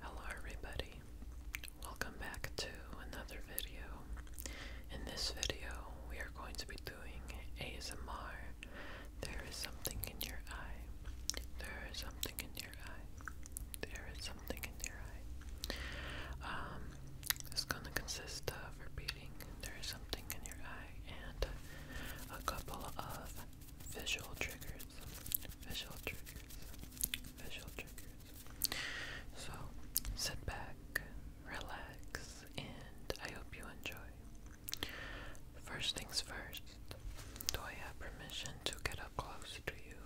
Hello everybody, welcome back to another video. In this video, we are going to be doing ASMR. There is something in your eye. There is something in your eye. There is something in your eye. Um, it's gonna consist of repeating there is something in your eye and a couple of visual triggers visual triggers, visual triggers. So sit back, relax, and I hope you enjoy. First things first, do I have permission to get up close to you,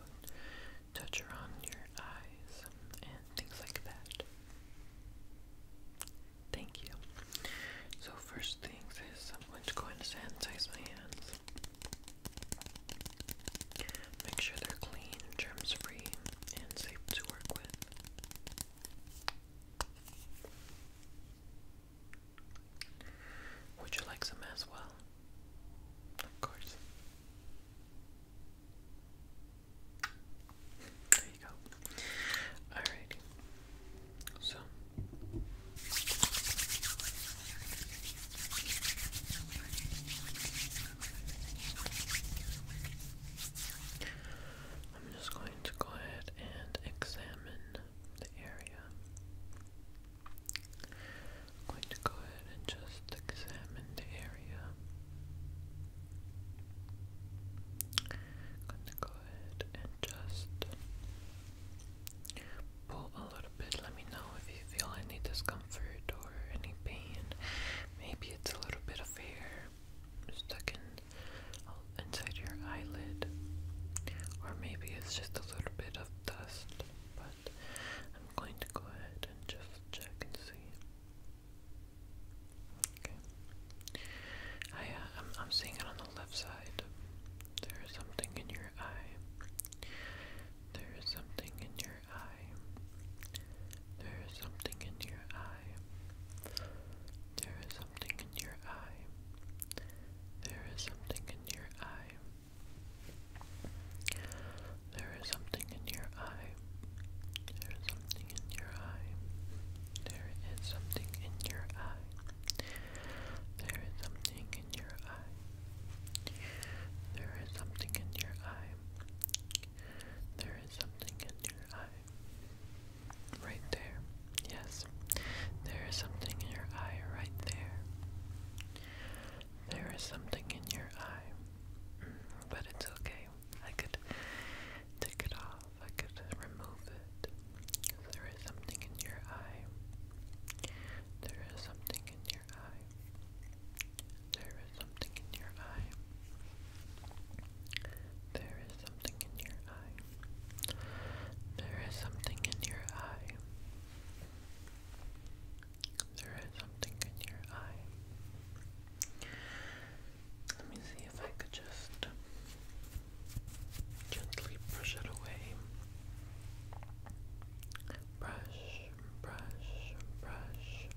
touch around your eyes, and things like that? Thank you. So first things is I'm going to go and sanitize my hands. Make sure they're clean, germs free, and safe to work with. Would you like some as well? Of course. There you go. Alrighty. So, I'm just going to go ahead and examine the area. going to go ahead and just examine the area. going to go ahead and just pull a little bit. Let me know if you feel any discomfort or any pain. Maybe it's a little bit of hair stuck in uh, inside your eyelid, or maybe it's just a little bit of dust. But I'm going to go ahead and just check and see. Okay. I, uh, I'm, I'm seeing it on the left side. There is something in your eye. There is something in your eye. There is something in your eye. There is something in your eye. There is something in your eye. There is something in your eye. There is something in your eye. There is something in your eye. There is something in in your eye. There is something in your eye. There is something in your eye. Right there. Yes. There is something in your eye right there. There is something in your eye. Mm, but it's okay. I could take it off. I could remove it. There is something in your eye. There is something in there is something in your eye. There is something in your eye. There is something in your eye. There is something in your eye. Let me see if I could just gently brush it away. Brush, brush, brush,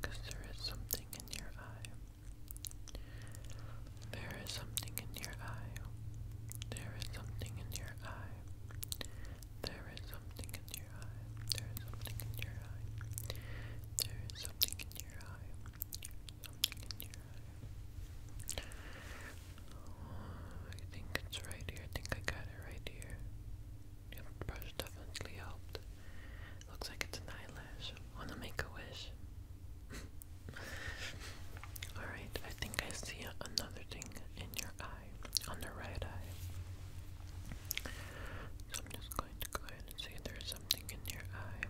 because there is something in your eye. There is something in your eye. There is something in your eye. There is something in your eye. There is something in your eye. There is something in your eye. Something in your eye. I think it's right here. I think I got it right here. the brush definitely helped. Looks like it's an eyelash. Wanna make a wish? Alright, I think I see another thing in your eye, on the right eye. So I'm just going to go ahead and see there's something in your eye.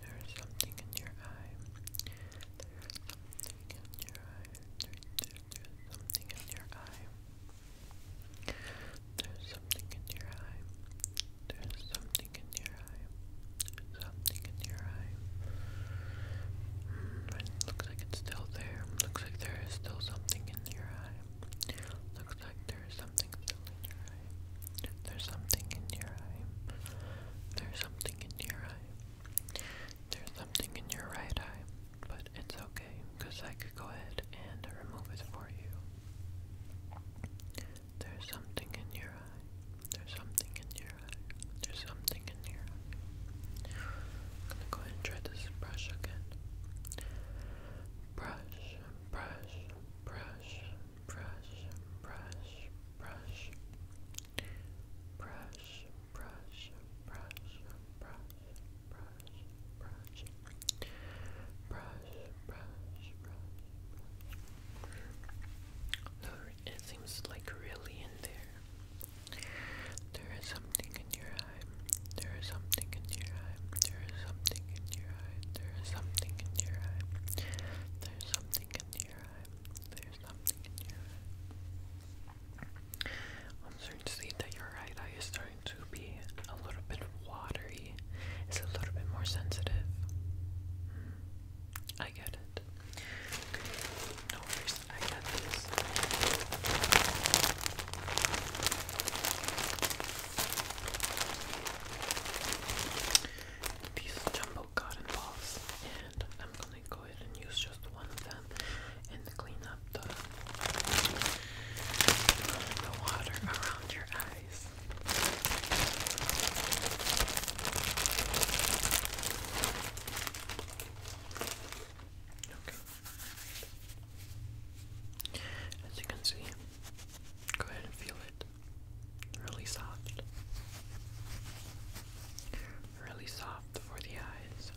There's something in your eye. There's something in your eye. There's something in your eye. There's something in your eye. There's something in your eye. Something in your eye. Mm, it looks like it's still there. Looks like there is still something in your eye. Looks like there is something still in your eye. There's something in your eye. There's something in your eye. There's something in your right eye, but it's okay because I could go ahead and remove it for you. There's something in your eye. There's something in your eye. There's something in your eye. I'm gonna go ahead and try this brush again. Brush, brush, brush, brush, brush, brush. Brush, brush, brush, brush, brush, brush, brush, brush, brush. No, it seems like really in there. There is something in your eye. There is something in your eye. There is something in your eye. There is something in your eye. There's something in your eye. There's something in your eye. I'm starting to see that your right eye is starting to be a little bit watery. It's a little bit more sensitive. Hmm. I get it. no worries, I got this. These jumbo cotton balls, and I'm gonna go ahead and use just one of them and clean up the, the water around your eyes. Okay. As you can see, go ahead and feel it. Really soft. Really soft for the eyes.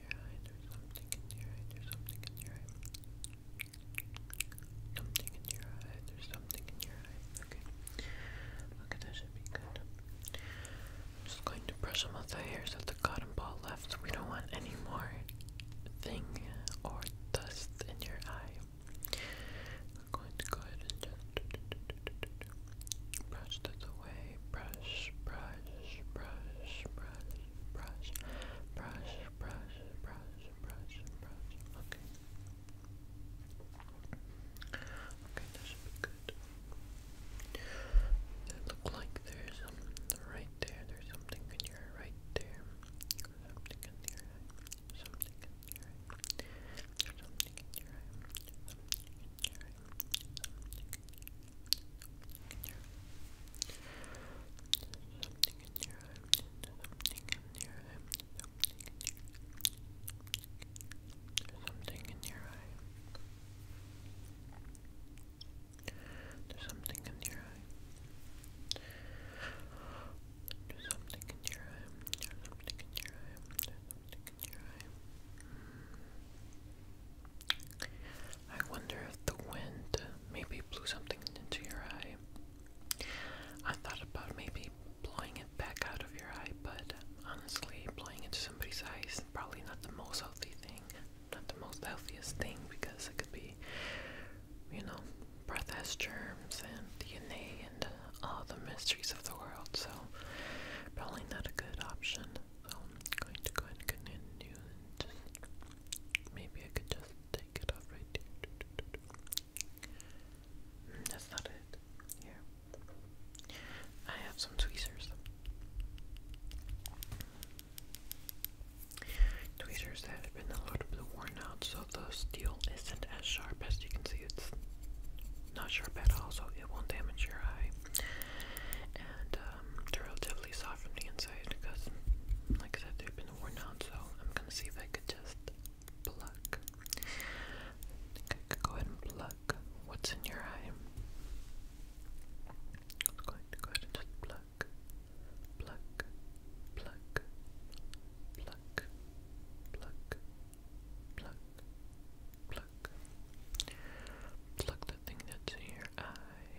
there's something in your eye, there's something in your eye. Something in your eye, there's something in your eye. Okay. Okay, that should be good. just going to brush them the hairs at the cotton ball left. We don't want any more thing or dust in your eye. I'm going to go ahead and just brush this away. Brush, brush, brush, brush, brush, brush, brush, brush, brush, brush. Okay. Okay, that should be good. It look like there's something right there. There's something in your right there. Something in your eye. Something in your eye. Something in your eye. Something in your eye. Something in your eye. There's something in your eye. There's something in your eye. There's something in your eye. Mm. I wonder if the wind maybe blew something into your eye. I thought about maybe blowing it back out of your eye, but honestly, blowing into somebody's eyes is probably not the most healthy thing, not the most healthiest thing because it could be, you know, breath has germs and DNA and all the mysteries of the world, so probably not a good option. I'm going to go and continue just maybe I could just take it off right here. Mm, that's not it. Here. I have some tweezers. Tweezers that have been a little bit worn out, so the steel isn't as sharp as you can see. It's not sharp at all, so it won't damage your eye and um, they're relatively soft from the inside because, like I said, they've been worn out. So I'm gonna see if I could just pluck. I think I could go ahead and pluck what's in your eye. I'm going to go ahead just pluck, pluck, pluck, pluck, pluck, pluck, pluck, pluck the thing that's in your eye,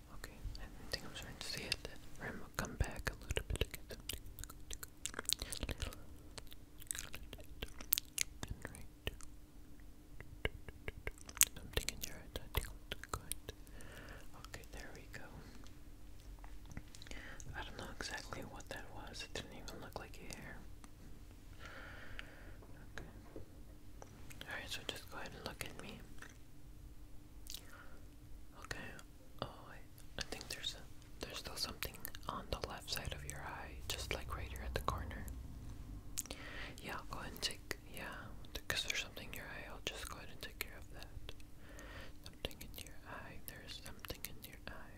Okay, I think I'm starting to see it. Or i come back a little bit again. I'm thinking you're Okay, there we go. I don't know exactly what that was. It didn't even look like hair. Okay. Alright, so just go ahead and look at me. Okay. Oh, I, think there's there's still something on the left side of your eye, just like right here at the corner. Yeah, go ahead and take yeah, because there's something in your eye. I'll just go ahead and take care of that. Something in your eye. There's something in your eye.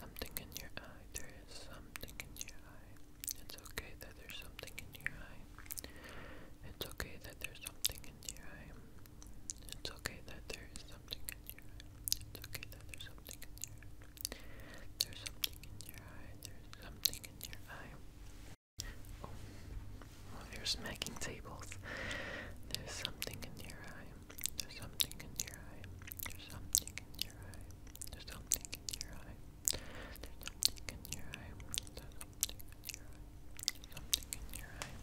Something in your eye. There is something in your eye. It's okay that there's something in your eye. It's okay that there's something in your eye. It's okay that there is something in your eye. It's okay that there's something in your eye. There's something in your eye. There's something in your eye. Oh, well, you're smacking tables. There's something in your eye. There's something in your eye. There's something in your eye. There's something in your eye. There's something in your eye. There's something in your eye. Something in your eye.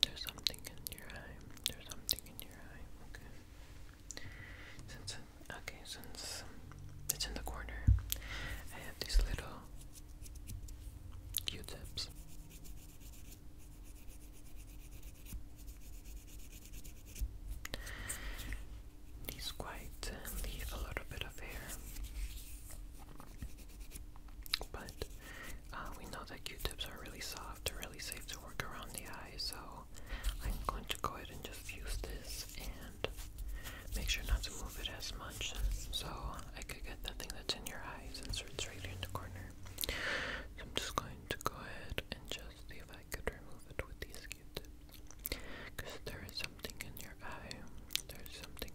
There's something in your eye. There's something in your eye. Okay. Since it's in the corner, I have these little Q-tips. These quite leave a little bit of hair. But uh, we know that Q-tips are really soft, really safe to work around the eye, so I'm going to go ahead and just use this and make sure not to move it as much so I could get the thing that's in your eye since it's right here in the corner. So I'm just going to go ahead and just see if I could remove it with these Q-tips. Because there is something in your eye, there's something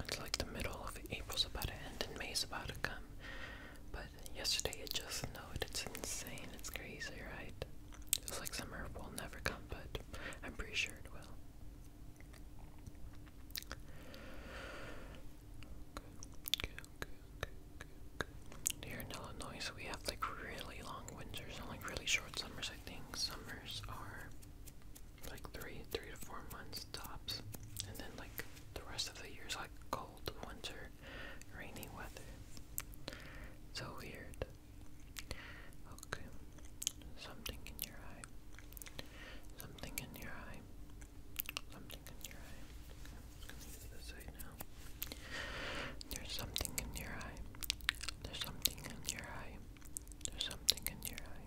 It's like the middle of April's about to end and May's about to come. But yesterday it just snowed. It's insane. It's crazy, right? It's like summer will never come, but I'm pretty sure it will. Okay, okay, okay, okay, okay. we have like really long winters and like really short summers. I think summers are like three, three to four months tops, and then like the rest of the year's like cold winter, rainy weather. So weird. Okay, something in your eye. Something in your eye. Something in your eye. I'm gonna do this right now. There's something in your eye. There's something in your eye. There's something in your eye.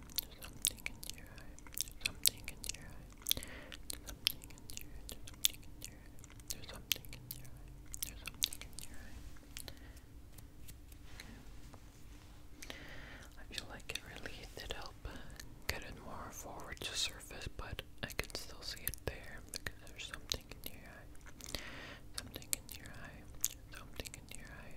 something in your eye, something in your eye, something in your eye, something in your eye, there's something in your eye, there's something in your eye. I feel like it really did help get it more forward to surface, but I can still see it there there's something in your eye, something in your eye, something in your eye.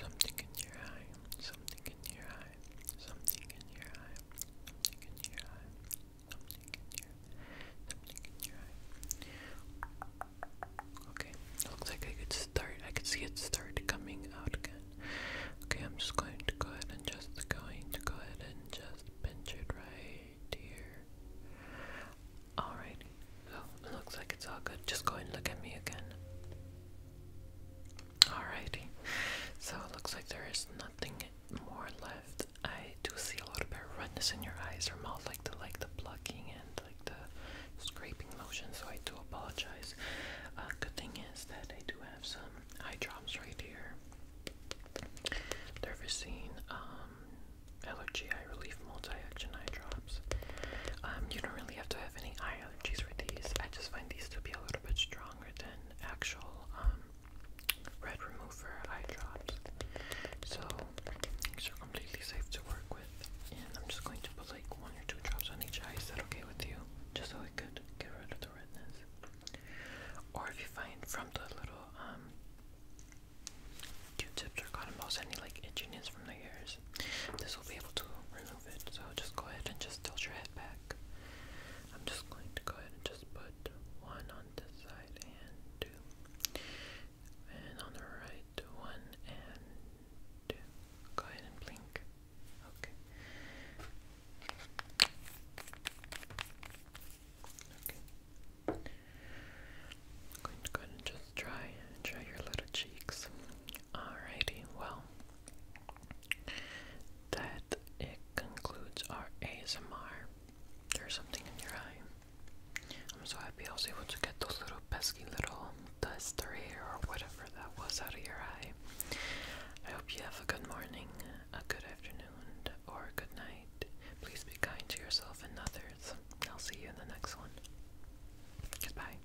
Something in your eye, something in your eye, something in your eye, something in your eye, something in your something in your eye. Okay, looks like I could start I could see it start coming out again. Okay, I'm just going to go ahead and just going to go ahead and just pinch it right here. Alright, so it looks like it's all good. Just go and look at me again. Alrighty, so it looks like there is nothing more left. I do see a little bit of redness in your eyes or mouth, like the like the plucking and like the scraping motion. So I do apologize. Uh, good thing is that I do have some eye drops right here. Dervicine, um, allergy eye relief multi-action eye drop. Um, you don't really have to have any eye allergies with these. I just find these to be a little bit stronger than actual um, red remover eye drops. So these are completely safe to work with. And I'm just going to put like one or two drops on each eye. Is that okay with you? Just so I could get rid of the redness. Or if you find from the little um, Q-tips or cotton balls any like itchiness from the ears, this will be able to remove so just go ahead and just tilt your head back. I'm just going to go ahead and just put one on this side and two, and on the right, one and two. Go ahead and blink. Okay. Okay. I'm going to go ahead and just dry, dry your little cheeks. Alrighty, well, that it concludes our ASMR. There's something in your eye. I'm so happy I was able to get those little pesky little dust or hair or whatever that was out of your eye. I hope you have a good morning, a good afternoon, or a good night. Please be kind to yourself and others. I'll see you in the next one. Goodbye.